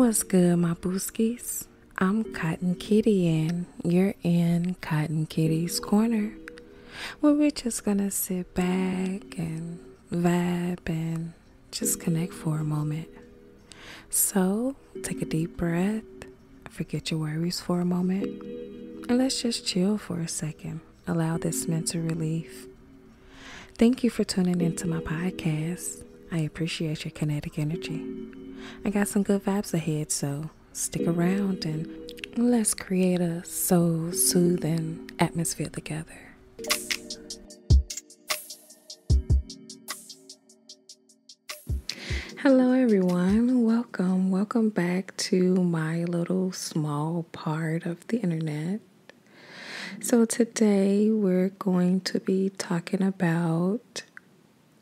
What's good, my booskies? I'm Cotton Kitty, and you're in Cotton Kitty's Corner, where we're just gonna sit back and vibe and just connect for a moment. So, take a deep breath, forget your worries for a moment, and let's just chill for a second. Allow this mental relief Thank you for tuning into my podcast. I appreciate your kinetic energy. I got some good vibes ahead, so stick around and let's create a soul soothing atmosphere together. Hello, everyone. Welcome. Welcome back to my little small part of the internet. So, today we're going to be talking about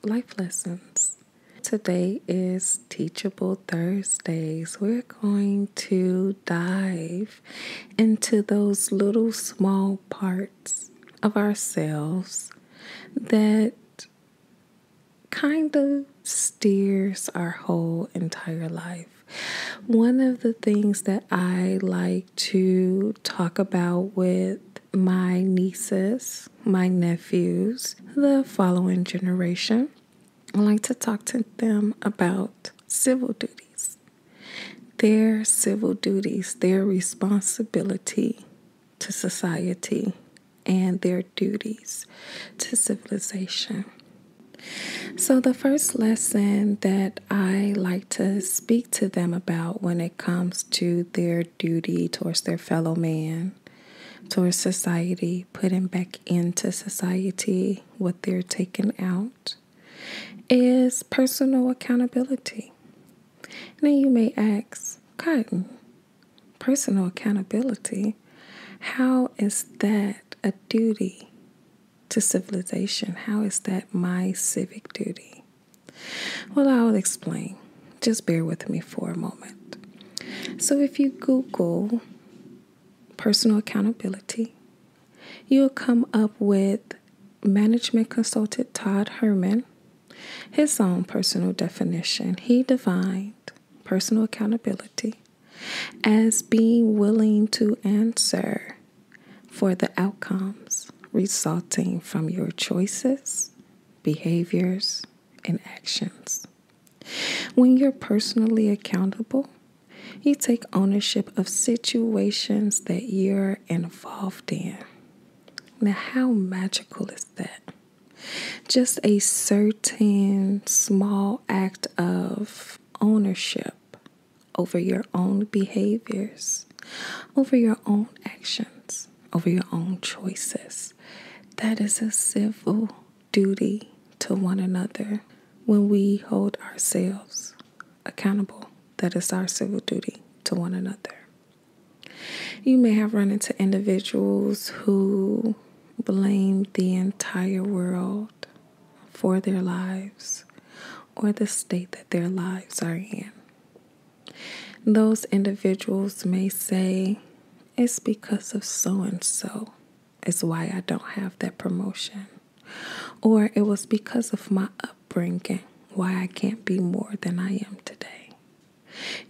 life lessons. Today is Teachable Thursdays. We're going to dive into those little small parts of ourselves that kind of steers our whole entire life. One of the things that I like to talk about with my nieces, my nephews, the following generation. I like to talk to them about civil duties, their civil duties, their responsibility to society, and their duties to civilization. So, the first lesson that I like to speak to them about when it comes to their duty towards their fellow man, towards society, putting back into society what they're taking out, is personal accountability. Now you may ask, Cotton, personal accountability, how is that a duty? to civilization. How is that my civic duty? Well, I'll explain. Just bear with me for a moment. So, if you Google personal accountability, you'll come up with management consultant Todd Herman, his own personal definition. He defined personal accountability as being willing to answer for the outcomes resulting from your choices, behaviors, and actions. When you're personally accountable, you take ownership of situations that you're involved in. Now, how magical is that? Just a certain small act of ownership over your own behaviors, over your own actions, over your own choices. That is a civil duty to one another when we hold ourselves accountable. That is our civil duty to one another. You may have run into individuals who blame the entire world for their lives or the state that their lives are in. Those individuals may say, It's because of so and so, is why I don't have that promotion. Or it was because of my upbringing, why I can't be more than I am today.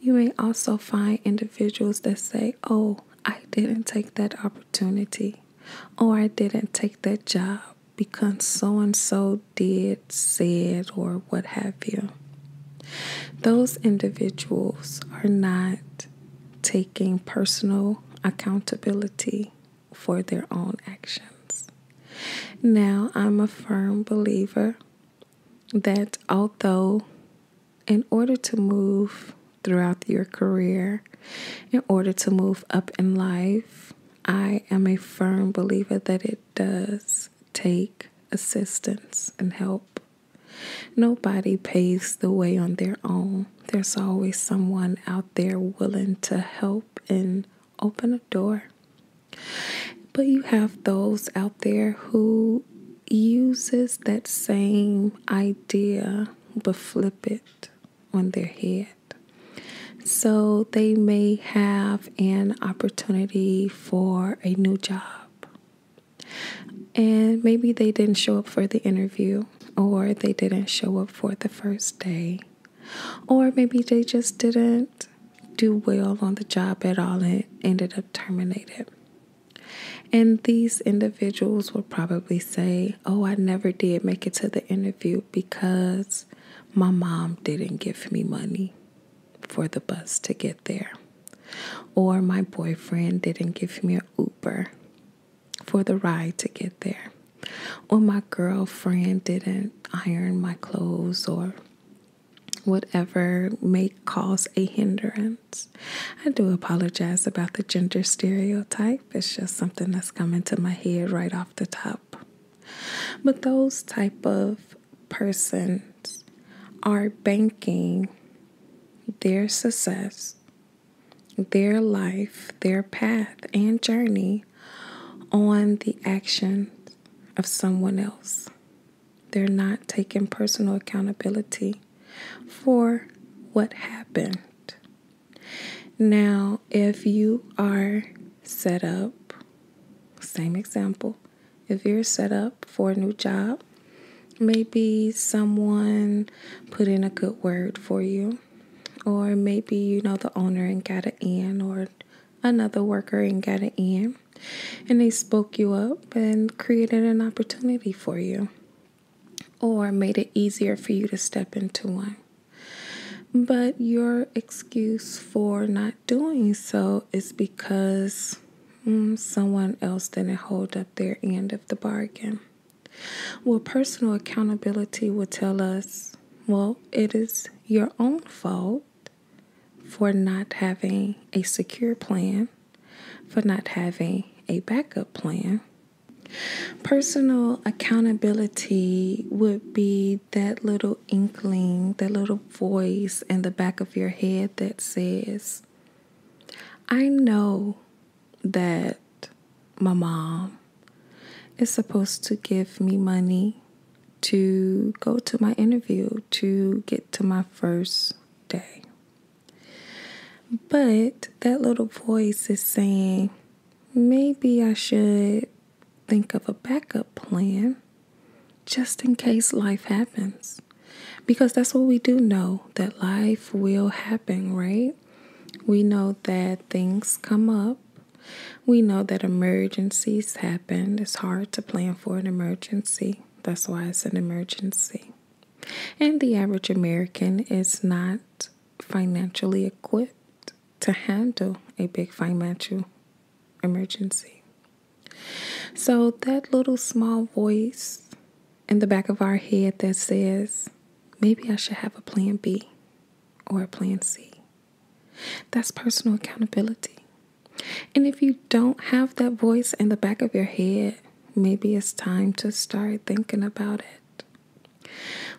You may also find individuals that say, Oh, I didn't take that opportunity, or I didn't take that job, because so and so did, said, or what have you. Those individuals are not taking personal accountability for their own actions. Now, I'm a firm believer that although, in order to move throughout your career, in order to move up in life, I am a firm believer that it does take assistance and help. Nobody pays the way on their own. There's always someone out there willing to help and open a door. But you have those out there who uses that same idea but flip it on their head. So they may have an opportunity for a new job. And maybe they didn't show up for the interview, or they didn't show up for the first day, or maybe they just didn't do well on the job at all and ended up terminated. And these individuals will probably say, oh, I never did make it to the interview because my mom didn't give me money for the bus to get there. Or my boyfriend didn't give me an Uber for the ride to get there. Or my girlfriend didn't iron my clothes or whatever may cause a hindrance. I do apologize about the gender stereotype. It's just something that's coming to my head right off the top. But those type of persons are banking their success, their life, their path, and journey on the actions of someone else. They're not taking personal accountability for what happened now, if you are set up, same example, if you're set up for a new job, maybe someone put in a good word for you, or maybe you know the owner and got an in, or another worker and got an in, and they spoke you up and created an opportunity for you or made it easier for you to step into one. But your excuse for not doing so is because mm, someone else didn't hold up their end of the bargain. Well, personal accountability will tell us well, it is your own fault for not having a secure plan, for not having a backup plan, Personal accountability would be that little inkling, that little voice in the back of your head that says, I know that my mom is supposed to give me money to go to my interview, to get to my first day. But that little voice is saying, maybe I should think of a backup plan just in case life happens. Because that's what we do know that life will happen, right? We know that things come up. We know that emergencies happen. It's hard to plan for an emergency. That's why it's an emergency. And the average American is not financially equipped to handle a big financial emergency. So, that little small voice in the back of our head that says, maybe I should have a plan B or a plan C, that's personal accountability. And if you don't have that voice in the back of your head, maybe it's time to start thinking about it.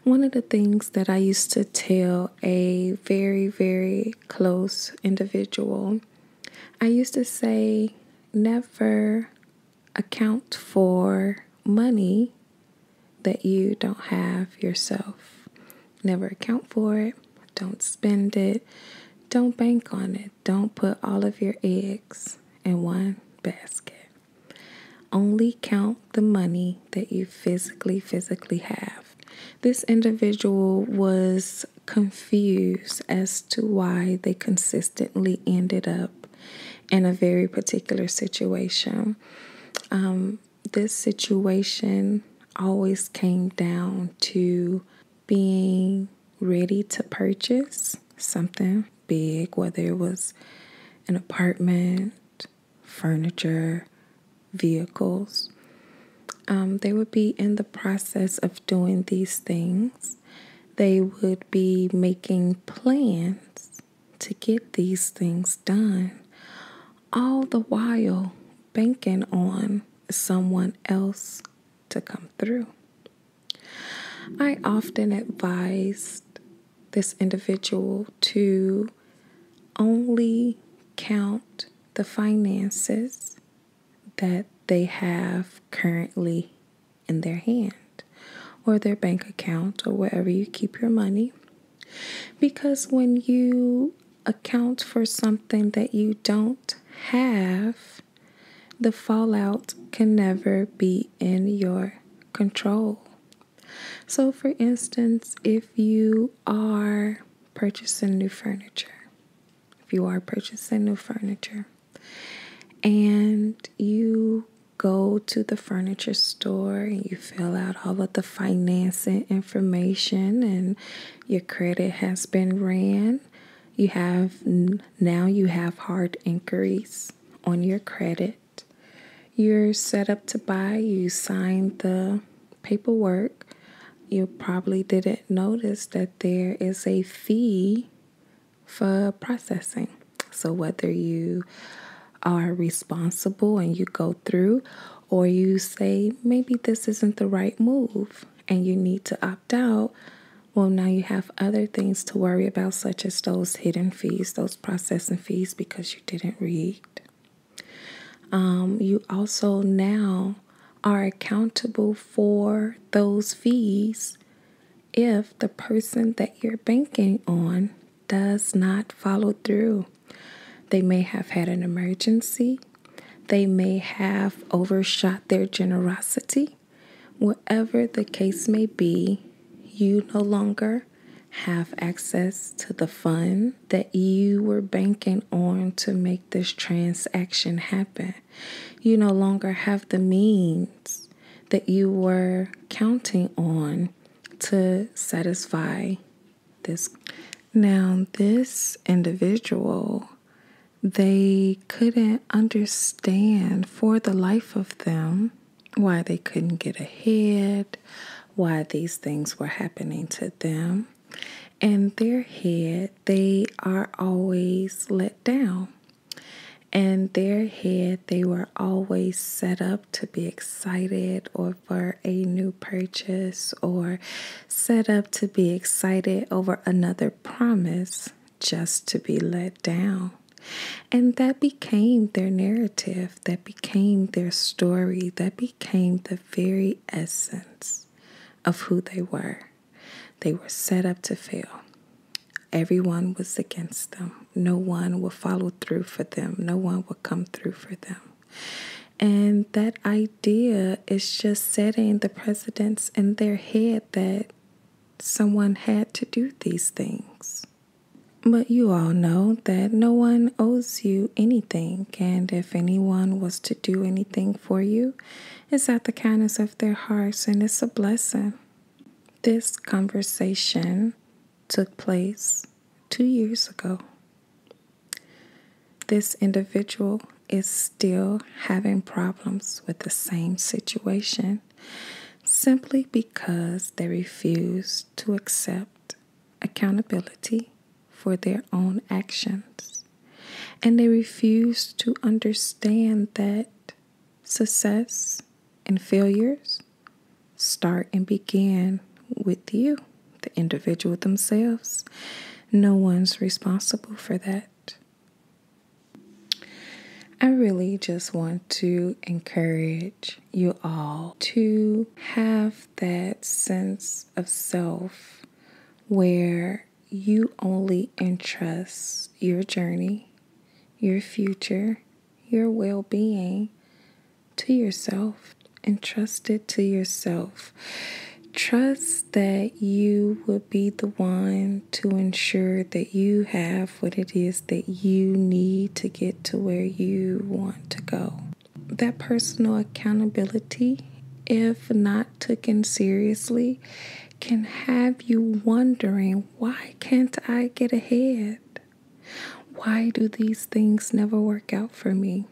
One of the things that I used to tell a very, very close individual, I used to say, never account for money that you don't have yourself. Never account for it. Don't spend it. Don't bank on it. Don't put all of your eggs in one basket. Only count the money that you physically, physically have. This individual was confused as to why they consistently ended up in a very particular situation. Um, this situation always came down to being ready to purchase something big, whether it was an apartment, furniture, vehicles. Um, they would be in the process of doing these things. They would be making plans to get these things done, all the while banking on someone else to come through. I often advised this individual to only count the finances that they have currently in their hand or their bank account or wherever you keep your money. Because when you account for something that you don't have, the fallout can never be in your control. So, for instance, if you are purchasing new furniture, if you are purchasing new furniture and you go to the furniture store and you fill out all of the financing information and your credit has been ran, you have now you have hard inquiries on your credit you're set up to buy, you sign the paperwork. You probably didn't notice that there is a fee for processing. So, whether you are responsible and you go through, or you say, maybe this isn't the right move and you need to opt out, well, now you have other things to worry about, such as those hidden fees, those processing fees, because you didn't read. Um, you also now are accountable for those fees if the person that you're banking on does not follow through. They may have had an emergency, they may have overshot their generosity, Whatever the case may be, you no longer have access to the fund that you were banking on to make this transaction happen. You no longer have the means that you were counting on to satisfy this. Now, this individual, they couldn't understand for the life of them why they couldn't get ahead, why these things were happening to them. And their head, they are always let down. And their head, they were always set up to be excited or for a new purchase or set up to be excited over another promise just to be let down. And that became their narrative, that became their story, that became the very essence of who they were. They were set up to fail. Everyone was against them. No one would follow through for them. No one would come through for them. And that idea is just setting the presidents in their head that someone had to do these things. But you all know that no one owes you anything, and if anyone was to do anything for you, it's at the kindness of their hearts and it's a blessing. This conversation took place two years ago. This individual is still having problems with the same situation simply because they refuse to accept accountability for their own actions. And they refuse to understand that success and failures start and begin with you, the individual themselves. No one's responsible for that. I really just want to encourage you all to have that sense of self where you only entrust your journey, your future, your well being to yourself. Entrust it to yourself. Trust that you will be the one to ensure that you have what it is that you need to get to where you want to go. That personal accountability, if not taken seriously, can have you wondering why can't I get ahead? Why do these things never work out for me?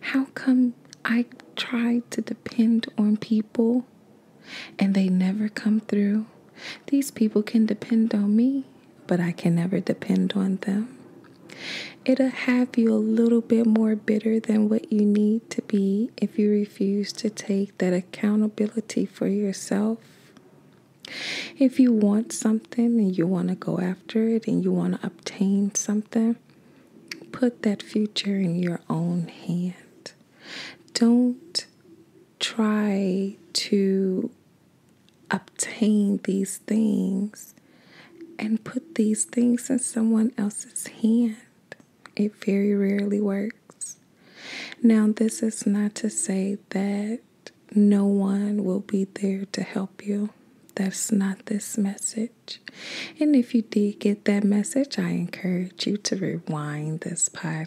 How come I try to depend on people and they never come through. These people can depend on me, but I can never depend on them. It'll have you a little bit more bitter than what you need to be if you refuse to take that accountability for yourself. If you want something and you want to go after it and you want to obtain something, put that future in your own hand. Don't try to obtain these things and put these things in someone else's hand. It very rarely works. Now, this is not to say that no one will be there to help you. That's not this message. And if you did get that message, I encourage you to rewind this podcast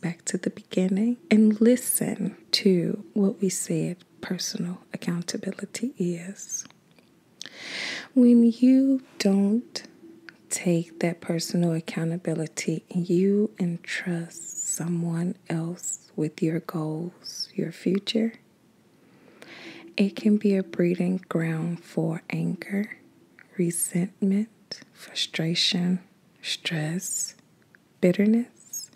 back to the beginning and listen to what we said personal accountability is. When you don't take that personal accountability you entrust someone else with your goals, your future, it can be a breeding ground for anger, resentment, frustration, stress, bitterness.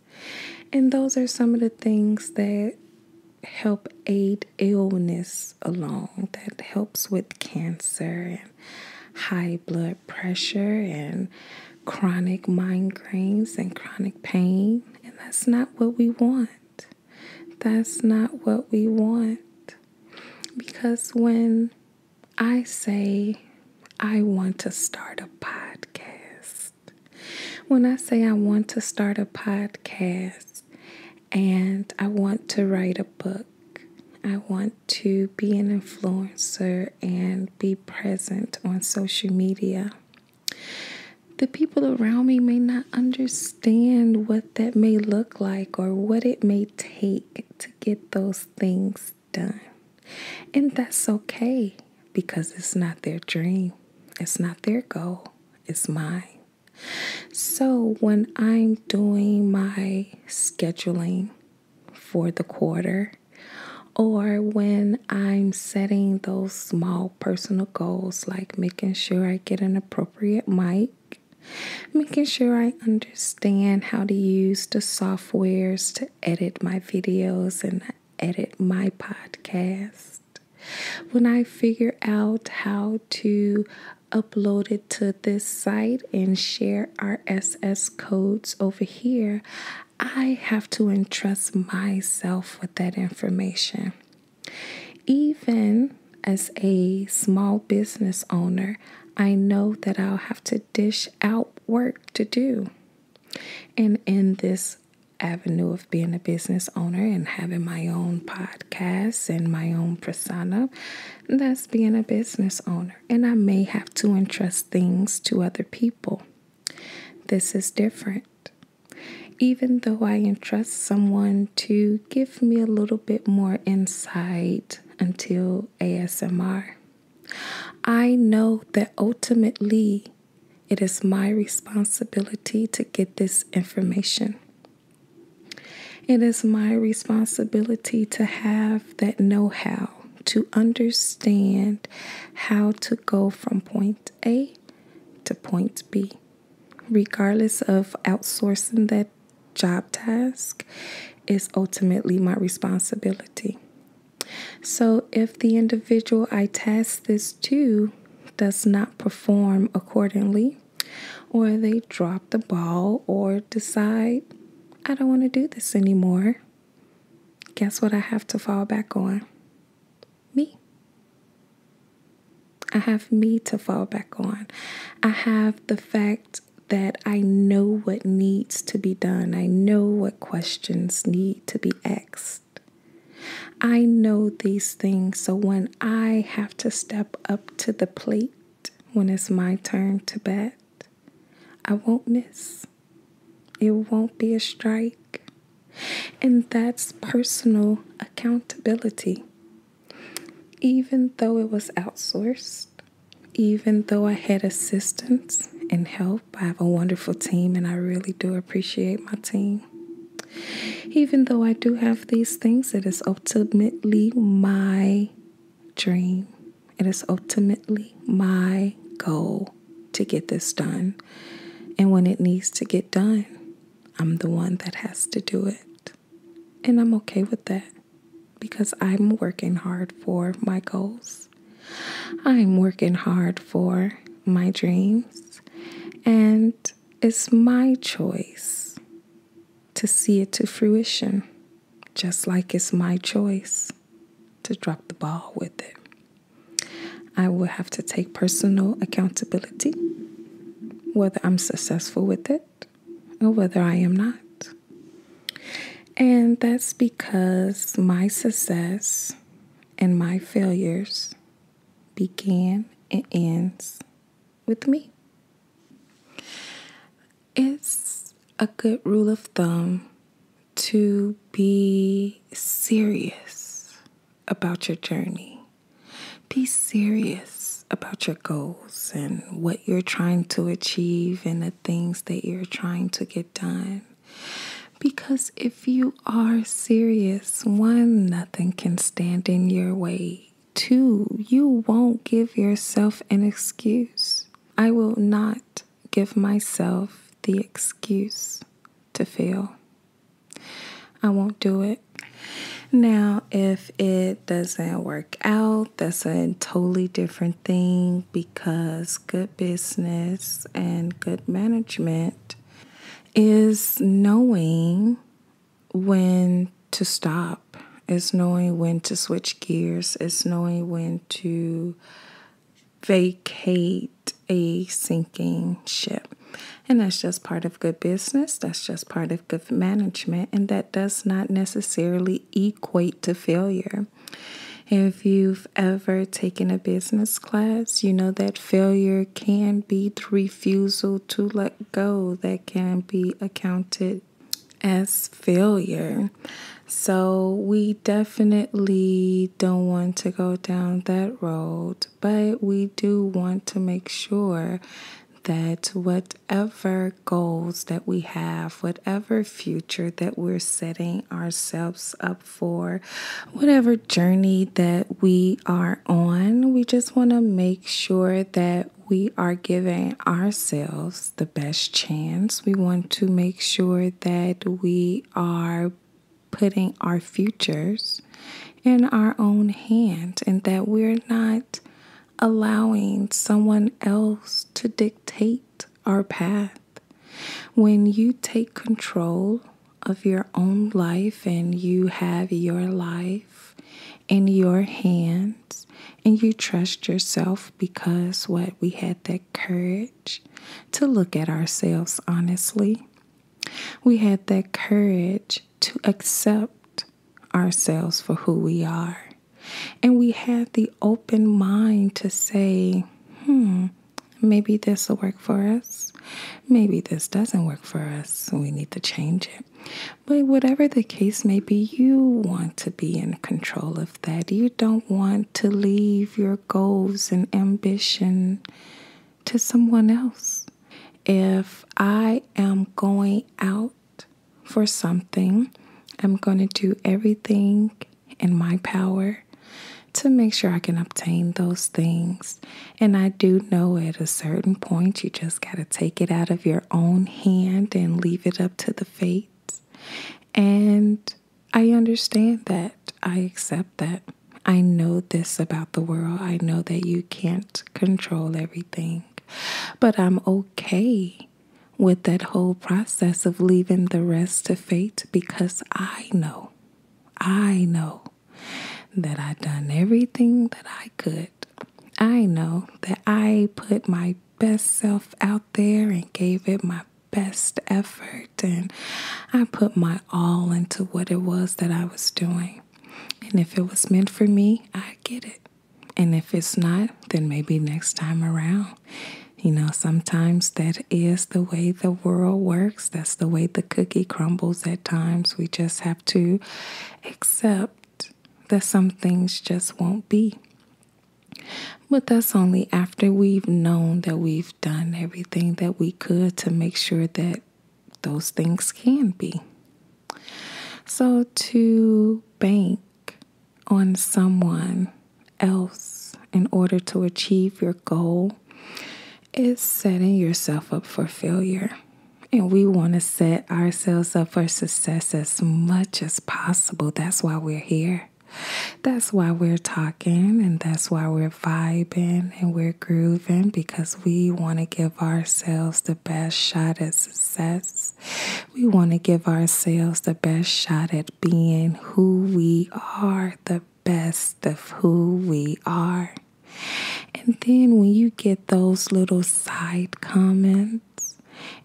And those are some of the things that help aid illness along, that helps with cancer and high blood pressure and chronic migraines and chronic pain. And that's not what we want. That's not what we want. Because when I say I want to start a podcast. When I say I want to start a podcast and I want to write a book, I want to be an influencer and be present on social media. The people around me may not understand what that may look like or what it may take to get those things done. And that's okay because it's not their dream, it's not their goal, it's mine. So when I'm doing my scheduling for the quarter, or when I'm setting those small personal goals, like making sure I get an appropriate mic making sure I understand how to use the softwares to edit my videos and edit my podcast. When I figure out how to upload it to this site and share RSS codes over here, I have to entrust myself with that information. Even as a small business owner, I know that I'll have to dish out work to do. And in this avenue of being a business owner and having my own podcast and my own persona, that's being a business owner. And I may have to entrust things to other people. This is different. Even though I entrust someone to give me a little bit more insight until ASMR. I know that ultimately it is my responsibility to get this information. It is my responsibility to have that know how, to understand how to go from point A to point B, regardless of outsourcing that job task is ultimately my responsibility. So, if the individual I task this to does not perform accordingly, or they drop the ball, or decide, I don't want to do this anymore, guess what I have to fall back on? Me. I have me to fall back on. I have the fact that I know what needs to be done. I know what questions need to be asked. I know these things. So when I have to step up to the plate, when it's my turn to bat, I won't miss. It won't be a strike. And that's personal accountability. Even though it was outsourced, even though I had assistance and help, I have a wonderful team and I really do appreciate my team. Even though I do have these things, it is ultimately my dream. It is ultimately my goal to get this done. And when it needs to get done, I'm the one that has to do it. And I'm okay with that because I'm working hard for my goals. I'm working hard for my dreams, and it's my choice to see it to fruition, just like it's my choice to drop the ball with it. I will have to take personal accountability, whether I'm successful with it or oh, whether I am not. And that's because my success and my failures begin and ends with me. It's a good rule of thumb to be serious about your journey. Be serious about your goals and what you're trying to achieve and the things that you're trying to get done. Because if you are serious, one, nothing can stand in your way. Two, you won't give yourself an excuse. I will not give myself the excuse to fail. I won't do it. Now, if it doesn't work, out, that's a totally different thing because good business and good management is knowing when to stop, is knowing when to switch gears, is knowing when to vacate a sinking ship. And that's just part of good business. That's just part of good management, and that does not necessarily equate to failure. If you've ever taken a business class, you know that failure can be the refusal to let go, that can be accounted as failure. So, we definitely don't want to go down that road, but we do want to make sure that what whatever goals that we have, whatever future that we're setting ourselves up for, whatever journey that we are on, we just want to make sure that we are giving ourselves the best chance. We want to make sure that we are putting our futures in our own hands and that we're not allowing someone else to dictate our path. When you take control of your own life and you have your life in your hands and you trust yourself because what we had that courage to look at ourselves honestly. We had that courage to accept ourselves for who we are. And we have the open mind to say, hmm, maybe this will work for us. Maybe this doesn't work for us. we need to change it. But whatever the case may be, you want to be in control of that. You don't want to leave your goals and ambition to someone else. If I am going out for something, I'm going to do everything in my power to make sure I can obtain those things. And I do know at a certain point, you just got to take it out of your own hand and leave it up to the fates. And I understand that. I accept that. I know this about the world. I know that you can't control everything. But I'm okay with that whole process of leaving the rest to fate because I know, I know that I done everything that I could. I know that I put my best self out there and gave it my best effort and I put my all into what it was that I was doing. And if it was meant for me, I get it. And if it's not, then maybe next time around. You know, sometimes that is the way the world works. That's the way the cookie crumbles at times. We just have to accept that some things just won't be. But that's only after we've known that we've done everything that we could to make sure that those things can be. So to bank on someone else in order to achieve your goal is setting yourself up for failure. And we want to set ourselves up for success as much as possible. That's why we're here. That's why we're talking and that's why we're vibing and we're grooving because we want to give ourselves the best shot at success. We want to give ourselves the best shot at being who we are, the best of who we are. And then when you get those little side comments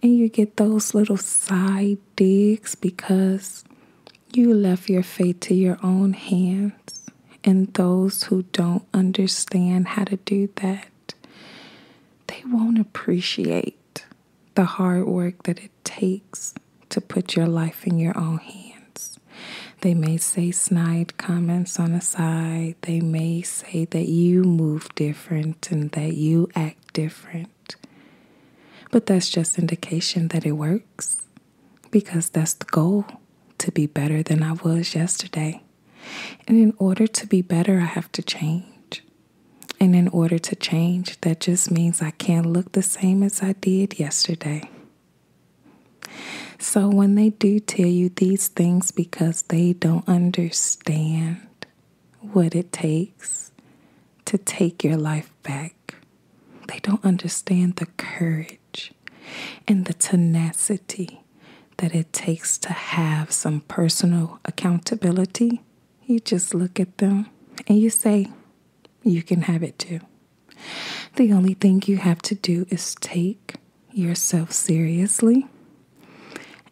and you get those little side digs because you left your fate to your own hands and those who don't understand how to do that they won't appreciate the hard work that it takes to put your life in your own hands. They may say snide comments on the side. They may say that you move different and that you act different. But that's just indication that it works because that's the goal to be better than I was yesterday. And in order to be better, I have to change. And in order to change, that just means I can't look the same as I did yesterday. So when they do tell you these things because they don't understand what it takes to take your life back, they don't understand the courage and the tenacity that it takes to have some personal accountability, you just look at them and you say, You can have it too. The only thing you have to do is take yourself seriously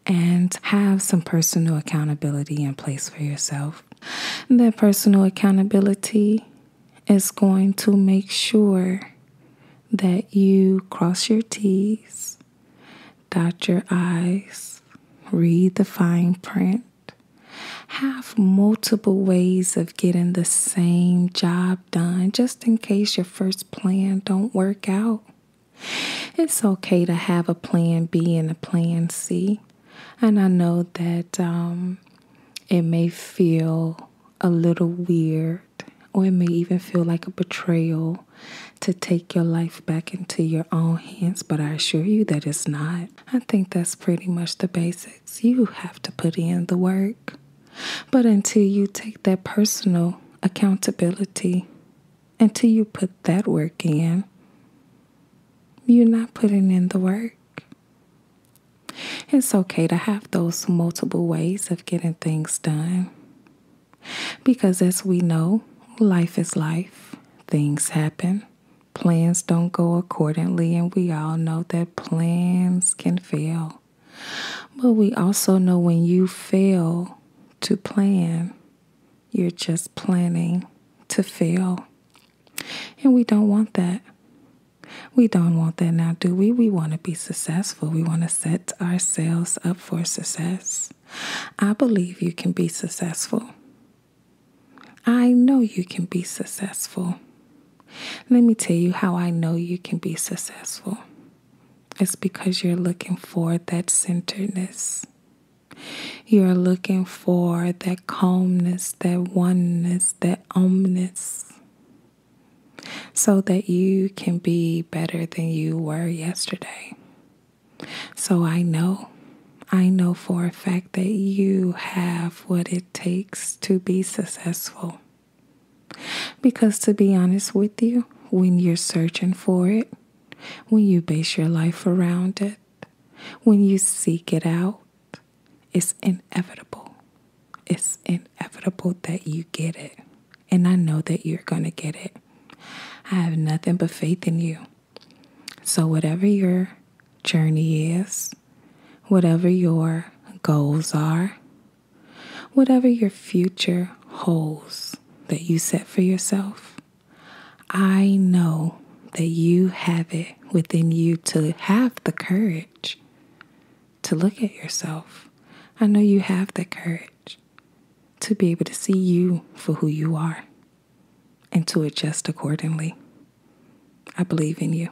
and have some personal accountability in place for yourself. That personal accountability is going to make sure that you cross your T's, dot your I's, read the fine print, have multiple ways of getting the same job done just in case your first plan don't work out. It's okay to have a plan B and a plan C. And I know that um, it may feel a little weird or it may even feel like a betrayal to take your life back into your own hands, but I assure you that it's not. I think that's pretty much the basics. You have to put in the work. But until you take that personal accountability, until you put that work in, you're not putting in the work. It's okay to have those multiple ways of getting things done. Because as we know, life is life, things happen, plans don't go accordingly, and we all know that plans can fail. But we also know when you fail to plan, you're just planning to fail. And we don't want that. We don't want that now, do we? We want to be successful. We want to set ourselves up for success. I believe you can be successful. I know you can be successful. Let me tell you how I know you can be successful. It's because you're looking for that centeredness. You're looking for that calmness, that oneness, that oneness so that you can be better than you were yesterday. So I know, I know for a fact that you have what it takes to be successful. Because to be honest with you, when you're searching for it, when you base your life around it, when you seek it out, it's inevitable it's inevitable that you get it. And I know that you're going to get it. I have nothing but faith in you. So, whatever your journey is, whatever your goals are, whatever your future holds that you set for yourself, I know that you have it within you to have the courage to look at yourself. I know you have the courage to be able to see you for who you are and to adjust accordingly. I believe in you.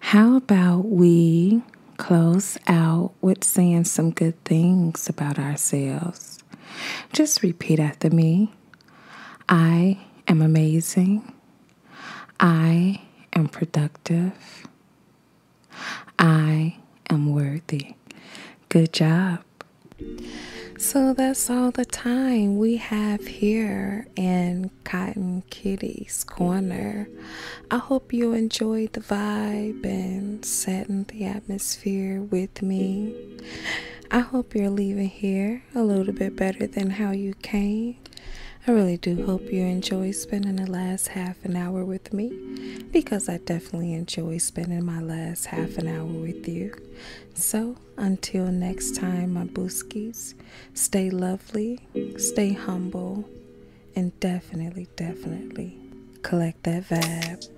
How about we close out with saying some good things about ourselves? Just repeat after me I am amazing. I am productive. I am worthy. Good job. So that's all the time we have here in Cotton Kitty's Corner. I hope you enjoyed the vibe and setting the atmosphere with me. I hope you're leaving here a little bit better than how you came. I really do hope you enjoy spending the last half an hour with me because I definitely enjoy spending my last half an hour with you. So, until next time, my booskies, stay lovely, stay humble, and definitely, definitely collect that vibe.